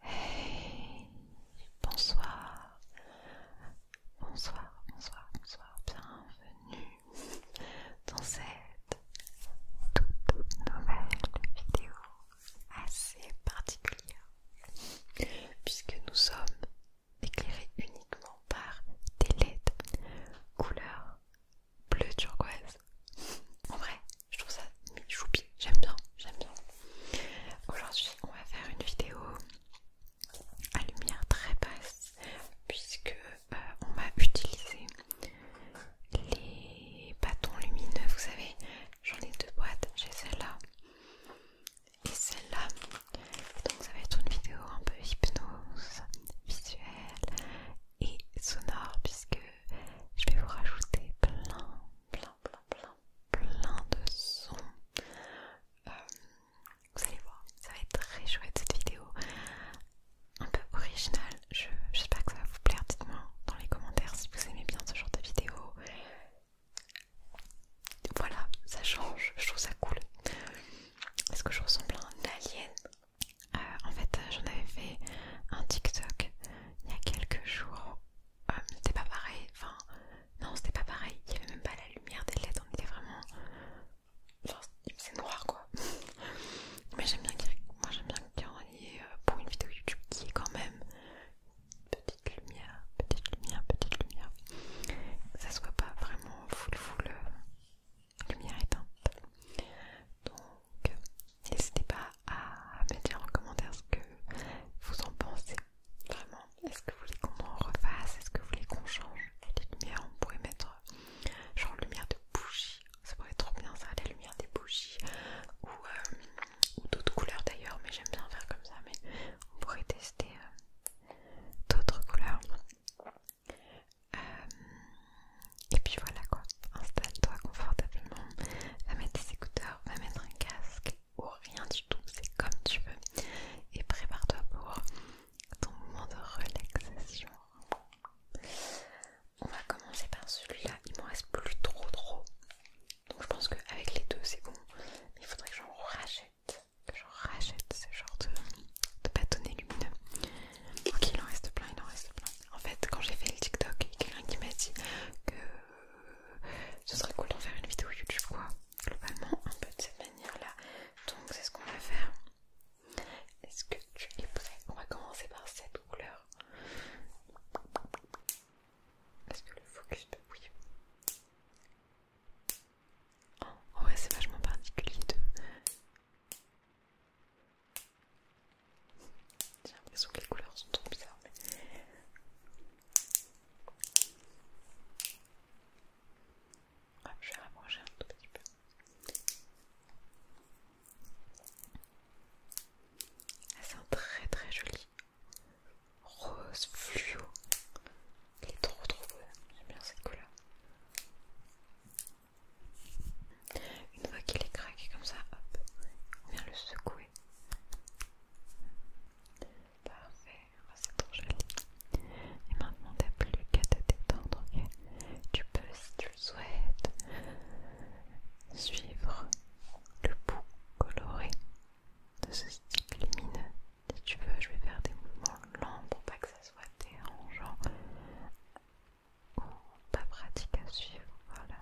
Hey, bonsoir, bonsoir, bonsoir, bonsoir, bienvenue dans cette toute nouvelle vidéo assez particulière puisque nous sommes éclairés uniquement par des LED couleur bleu turquoise. En vrai, je trouve ça choupi, j'aime bien, j'aime bien. Aujourd'hui on va faire une vidéo à lumière très basse puisque euh, on va utiliser les bâtons lumineux, vous savez, j'en ai deux boîtes, j'ai celle-là et celle-là. Donc ça va être une vidéo un peu hypnose, visuelle et sonore puisque je vais vous rajouter plein plein plein, plein, plein, de sons. Euh, vous allez voir, ça va être très chouette cette vidéo. Un peu originale, j'espère que ça va vous plaire. Dites-moi dans les commentaires si vous aimez bien ce genre de vidéo. Voilà, ça change, je trouve ça cool. Est-ce que je ressemble à un alien euh, En fait, j'en avais fait un TikTok il y a quelques jours euh, c'était pas pareil, enfin non c'était pas pareil, il y avait même pas la lumière des LED, on était vraiment... genre c'est noir quoi. Mais j'aime bien qu'il y ait euh, pour une vidéo YouTube qui est quand même petite lumière, petite lumière, petite lumière. Que ça soit pas vraiment full full euh, lumière éteinte. Donc N'hésitez pas à me dire en commentaire ce que vous en pensez. Vraiment, est-ce que vous voulez qu'on en refasse Est-ce que vous voulez qu'on change les lumières On pourrait mettre genre lumière de bougie, ça pourrait être trop bien ça, la lumière des bougies euh, ou, d'autres couleurs d'ailleurs, mais j'aime bien faire comme ça. Mais on pourrait tester euh, d'autres couleurs. Euh, et puis voilà quoi, installe-toi confortablement, à mettre des écouteurs va mettre un casque ou rien du tout, c'est comme tu veux. Et prépare-toi pour ton moment de relaxation. On va commencer par celui-là, il m'en reste plus trop trop. Donc je pense qu'avec les deux c'est bon, mais il faudrait que j'en rachète, que j'en rachète ce genre de, de bâtonnet lumineux. Ok, il en reste plein, il en reste plein. En fait, quand j'ai fait le TikTok, il quelqu'un qui m'a dit que ce serait cool d'en faire une vidéo YouTube quoi. Globalement, un peu de cette manière-là. Donc c'est ce qu'on va faire. Est-ce que tu es prêt On va commencer par cette couleur. Est-ce que le focus peut... Bah oui. Oh, vrai c'est vachement particulier j'ai l'impression que les couleurs sont trop bizarres. Ah, je vais rapprocher un tout petit peu. Ah, c'est un très très joli rose fluo. Il est trop trop beau. J'aime bien cette couleur. Une fois qu'il est craqué comme ça, hop, on vient le secouer. Parfait, ah, c'est trop joli. Et maintenant, t'as plus qu'à te détendre, ok Tu peux, si tu le souhaites, suivre le bout coloré de ce stick lumineux. Si tu veux, je vais faire des mouvements lents pour pas que ça soit dérangeant ou pas pratique à suivre. Voilà.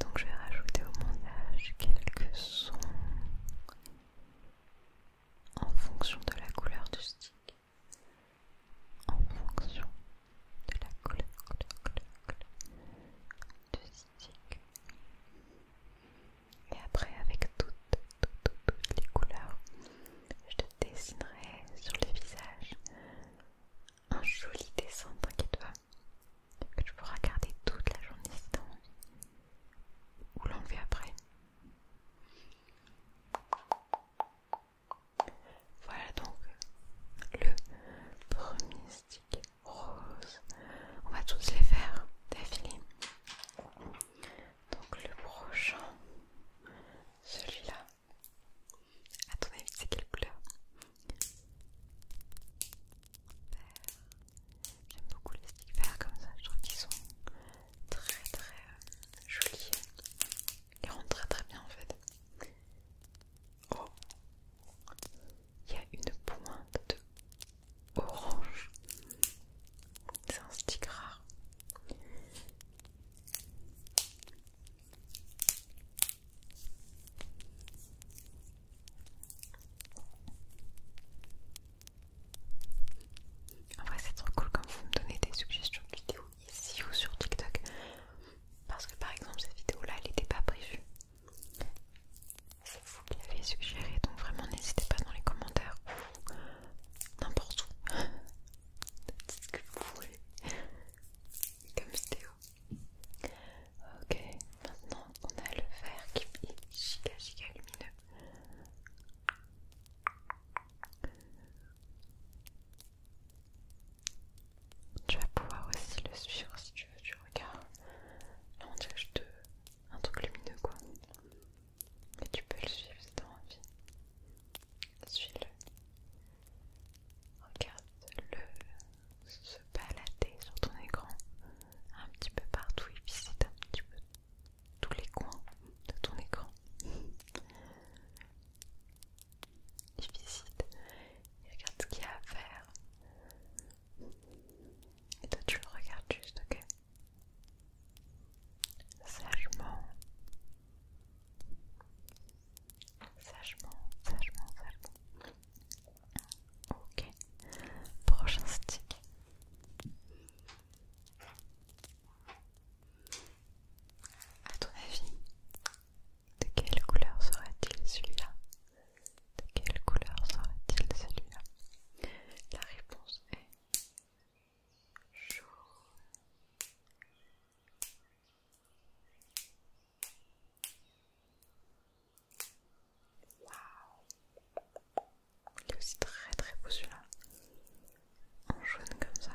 Donc je vais rajouter au montage quelques sons en fonction de la couleur du stick. En fonction de la couleur, du stick. Et après avec toutes les couleurs, je te dessinerai sur le visage un joli dessin, t'inquiète toi, que tu pourras garder toute la journée si ou l'enlever après. Voilà donc le premier stick rose. On va tous les faire d'affilée. Donc le prochain, celui-là. À ton avis, c'est quelle couleur J'aime beaucoup les sticks verts comme ça, je trouve qu'ils sont très très euh, jolis. Ils rendent très très bien en fait. Oh Il y a une pointe de orange. C'est un stick rare. En vrai c'est trop cool quand vous me donnez des suggestions de vidéos ici ou sur TikTok parce que par exemple cette vidéo là elle n'était pas prévue. C'est vous qui l'avez suggéré donc vraiment n'hésitez pas dans les commentaires ou n'importe où dites ce que vous voulez comme vidéo. Ok, maintenant on a le verre qui est giga giga lumineux. Tu vas pouvoir aussi le suivre si tu veux tu regardes, Là on un truc lumineux quoi. Mais tu peux le suivre si t'as envie. Suis-le. Regarde-le se balader sur ton écran un petit peu partout. Il visite un petit peu tous les coins de ton écran. Il visite, il regarde ce qu'il y a à faire. Et toi, tu le regardes juste, ok sagement, sagement, sagement, Ok, prochain stick. À ton avis, de quelle couleur sera-t-il celui-là De quelle couleur sera-t-il celui-là La réponse est il est aussi très très beau celui-là, en jaune comme ça.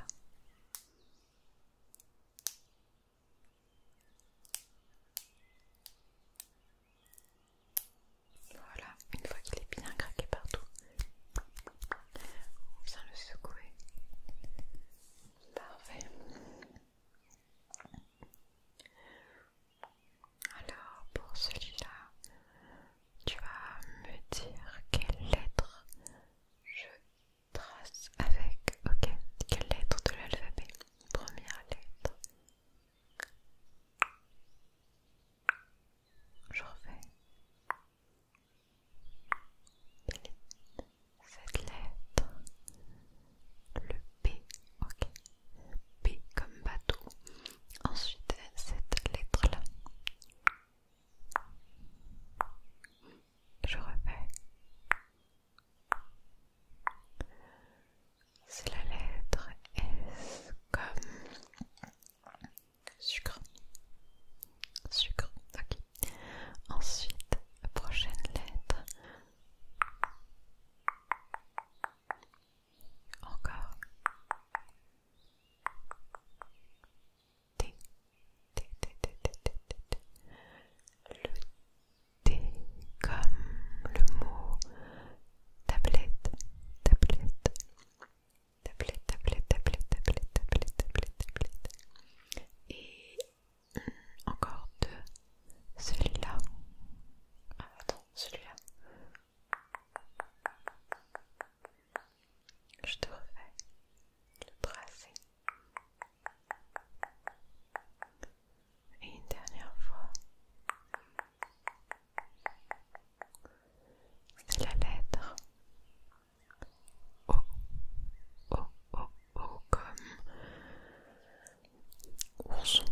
Voilà, une fois qu'il est bien craqué partout, on vient le secouer. Parfait. Alors pour celui-là, tu vas me dire quelle lettre je trace avec. Ok, quelle lettre de l'alphabet Première lettre. Je refais. Cette lettre, le P, ok, P comme bateau. Ensuite, cette lettre-là. Je répète, C'est la lettre S comme Sucre. Sucre, ok. Ensuite, prochaine lettre. Encore. T. T, T, T, T, T, T, Le T comme le mot tablette, tablette tablette, tablette, tablette, tablette, tablette, tablette, tablette. Et euh, encore deux. Celui-là. Ah, attends, celui-là. Je devrais le brasser Et une dernière fois c'est la lettre O. O, O, O comme ourson.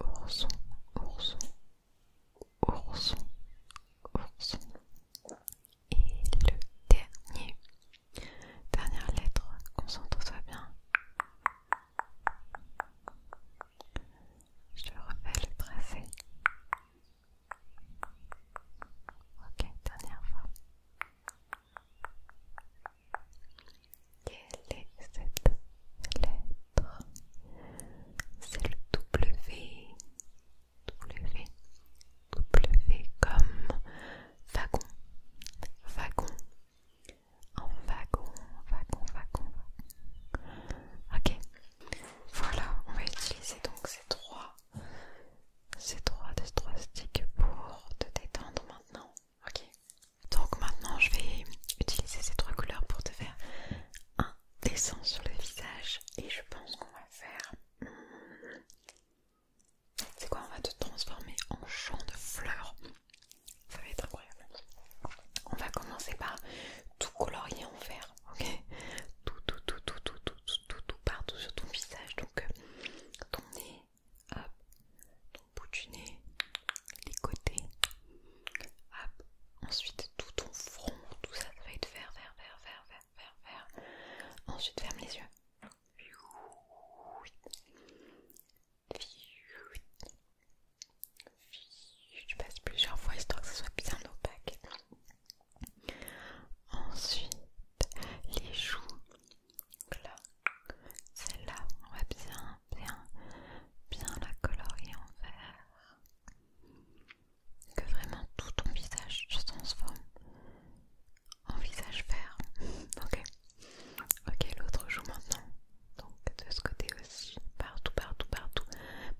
Ourson, ourson, ourson, ourson. Et le dernier, dernière lettre, concentre-toi bien. Je refais le tracé. Ok, dernière fois. Quelle est cette lettre C'est le W. W. W comme wagon. Wagon. En wagon, wagon, wagon, wagon. Ok. Voilà, on va utiliser donc ces trois, ces trois, trois sticks pour te détendre maintenant. Ok. Donc maintenant, je vais utiliser ces trois couleurs pour te faire un dessin sur le visage et je pense qu'on va faire. Hmm, c'est quoi On va te transformer en champ de fleurs. Ça va être incroyable. On va commencer par tout colorié en vert, ok tout tout tout, tout, tout, tout, tout, tout, tout, partout sur ton visage. Donc, euh, ton nez, hop, ton bout du nez, les côtés, hop, ensuite tout ton front, tout ça, ça va être vert, vert, vert, vert, vert, vert, vert. Ensuite, ferme les yeux. Je passe plusieurs fois histoire que ce soit bien opaque. Ensuite, les joues. Donc là, celle-là, on va bien, bien, bien la colorier en vert. Que vraiment tout ton visage se transforme en visage vert. ok, ok, l'autre joue maintenant. Donc de ce côté aussi partout, partout, partout,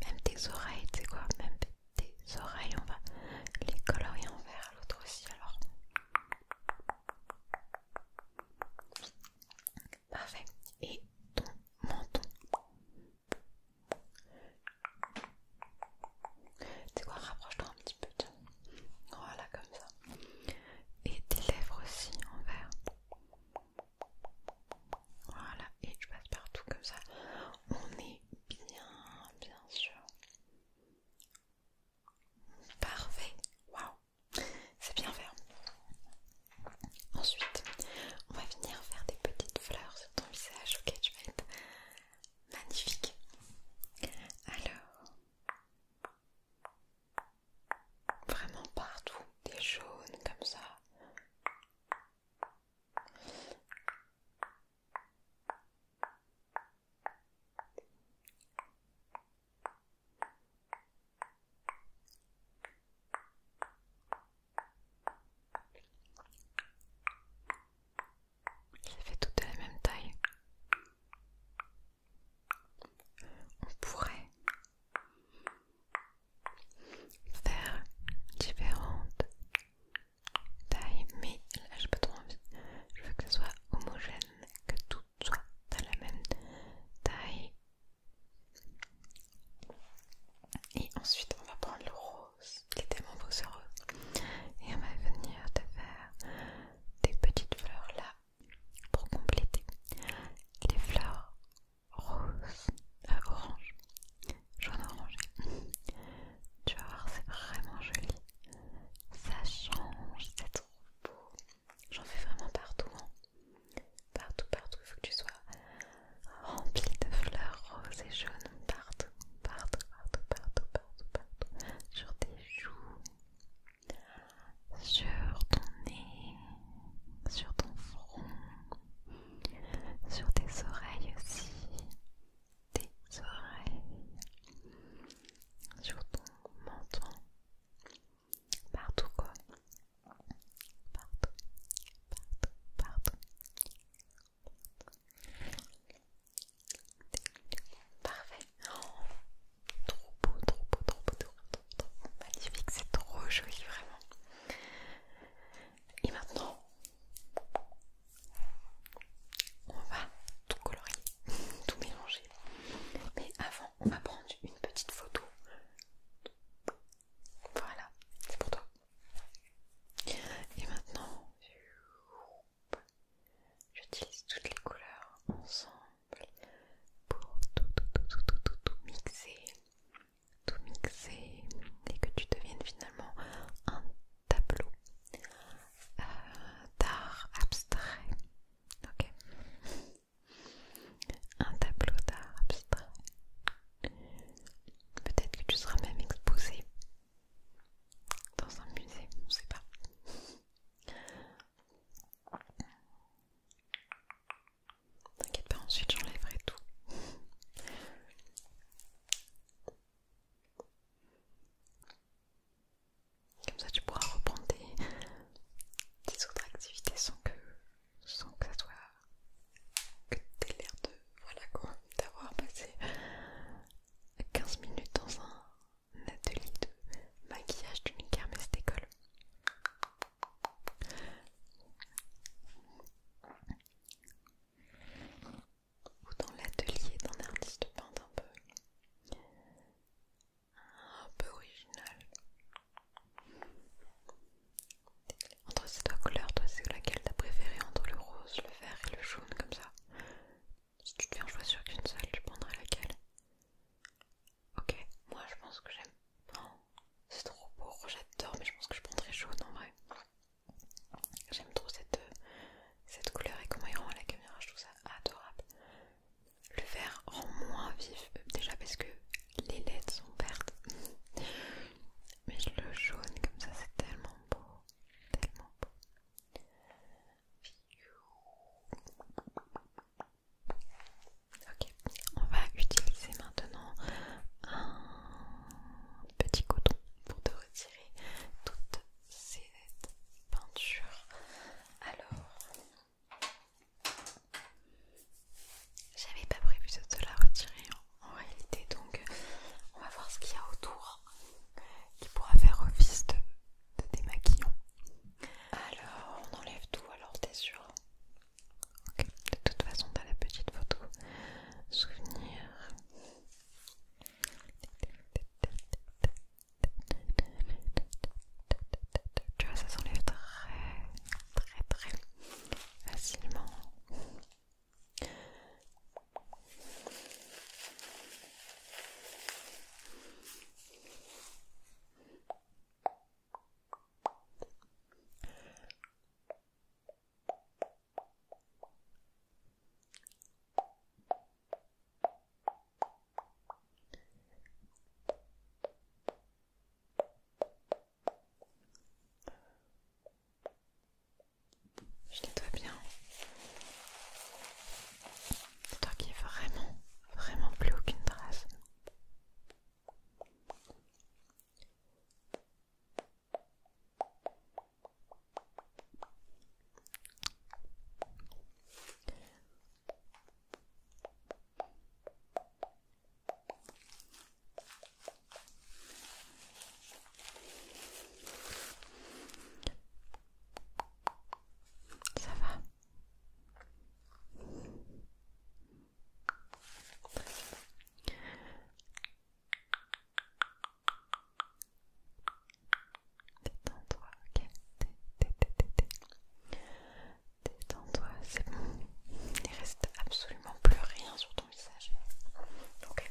même tes oreilles, tu sais quoi, même tes oreilles, on va les colorier en vert, l'autre aussi, alors. Parfait, et ton menton. Tu sais quoi, rapproche-toi un petit peu, Voilà, comme ça. Et tes lèvres aussi en vert. Voilà, et je passe partout comme ça. On est bien, bien sûr. Parfait, waouh, c'est bien fait hein. Ensuite, on va venir faire des petites fleurs sur ton visage, ok, tu vas être magnifique. Alors, vraiment partout, des jaunes comme ça. Il fait tout toutes de la même taille. On pourrait faire différentes tailles, mais là j'ai pas trop envie. Je veux que ce soit homogène, que tout soit à la même taille. Et ensuite, on va prendre le rose, qui est tellement beau ce rose. Et on va venir te faire des petites fleurs là pour compléter les fleurs rose, euh, orange, jaune orangé. Tu vas voir, c'est vraiment joli. Ça change, c'est trop beau. J'en fais vraiment partout. Hein. Partout, partout. Il faut que tu sois rempli de fleurs roses et jaunes. Partout, partout, partout, partout, partout, partout. Sur tes joues, sur ton nez, sur ton front sur tes oreilles aussi, tes oreilles, sur ton menton, partout quoi, partout, partout, partout, parfait, trop beau, trop beau, trop beau, trop beau, trop beau, magnifique, c'est trop joli vraiment. Et maintenant, on va tout colorier, tout mélanger. Mais avant, on va prendre une petite photo. Voilà, c'est pour toi. Et maintenant, j'utilise toutes les couleurs ensemble pour tout, tout, tout, tout mixer tout mixer et que tu deviennes finalement un tableau euh, d'art abstrait. Ok Un tableau d'art abstrait. Peut-être que tu seras même exposé dans un musée, on ne sait pas. T'inquiète pas, ensuite j'enlèverai tout. Comme ça tu pourras reprendre tes, autres activités sans que, sans que ça soit... que t'aies l'air de... voilà quoi, d'avoir passé 15 minutes dans un atelier de maquillage d'une kermesse d'école ou dans l'atelier d'un artiste peint un peu un peu original entre ces deux couleurs toi c'est laquelle t'as préféré entre le rose le vert et le jaune comme ça si tu devais en choisir qu'une seule tu prendrais laquelle ok moi je pense que j'aime c'est trop beau, j'adore, mais je pense que je prendrais jaune en vrai. J'aime trop cette, euh, cette couleur et comment il rend à la caméra, je trouve ça adorable. Le vert rend moins vif, euh, déjà parce que les LED sont vertes. Mais le jaune comme ça, c'est tellement beau, tellement beau. Ok, on va utiliser maintenant un petit coton pour te retirer toutes ces peintures. Alors, j'avais pas prévu de te la retirer en réalité, donc on va voir ce qu'il y a autour qui pourra faire office de, de démaquillant. Alors, on enlève tout, alors t'es sûr Ok, De toute façon, t'as la petite photo souvenir. Tu vois, ça s'enlève très, très, très facilement. Je nettoie bien. qu'il toi qui vraiment, vraiment plus aucune trace. Ça va Détends-toi, ok. Détends-toi, c'est bon. Il reste absolument plus rien sur ton visage. Ok.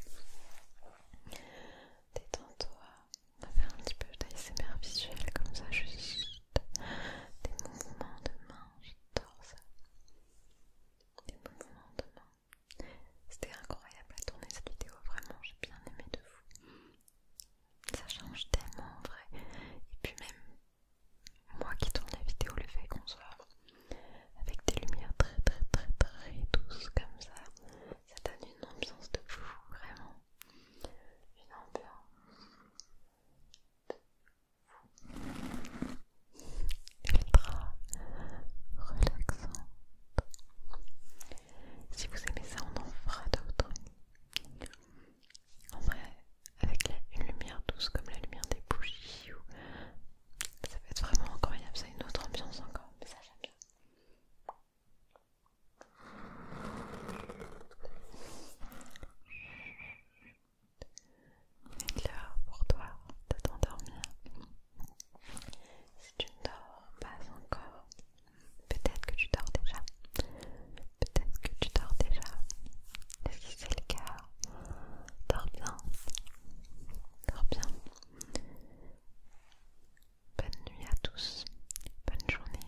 Détends-toi. On va faire un petit peu d'ASMR visuel comme ça, juste des mouvements de mains, J'adore ça de C'était incroyable à tourner cette vidéo, vraiment j'ai bien aimé de vous. Ça change tellement en vrai. Et puis même moi qui tourne la vidéo, le fait qu'on soit avec des lumières très très très très douces comme ça, ça donne une ambiance de vous vraiment. Une ambiance ultra relaxante. Si vous aimez ça, on en fera d'autres. En vrai, avec une lumière douce comme la lumière des bougies, ça va être vraiment incroyable. a une autre ambiance encore, mais ça j'aime bien est l'heure pour toi de t'endormir. Si tu ne dors pas encore, peut-être que tu dors déjà. Peut-être que tu dors déjà. est-ce que c'est le cas, dors bien. Dors bien. Bonne nuit à tous. Bonne journée.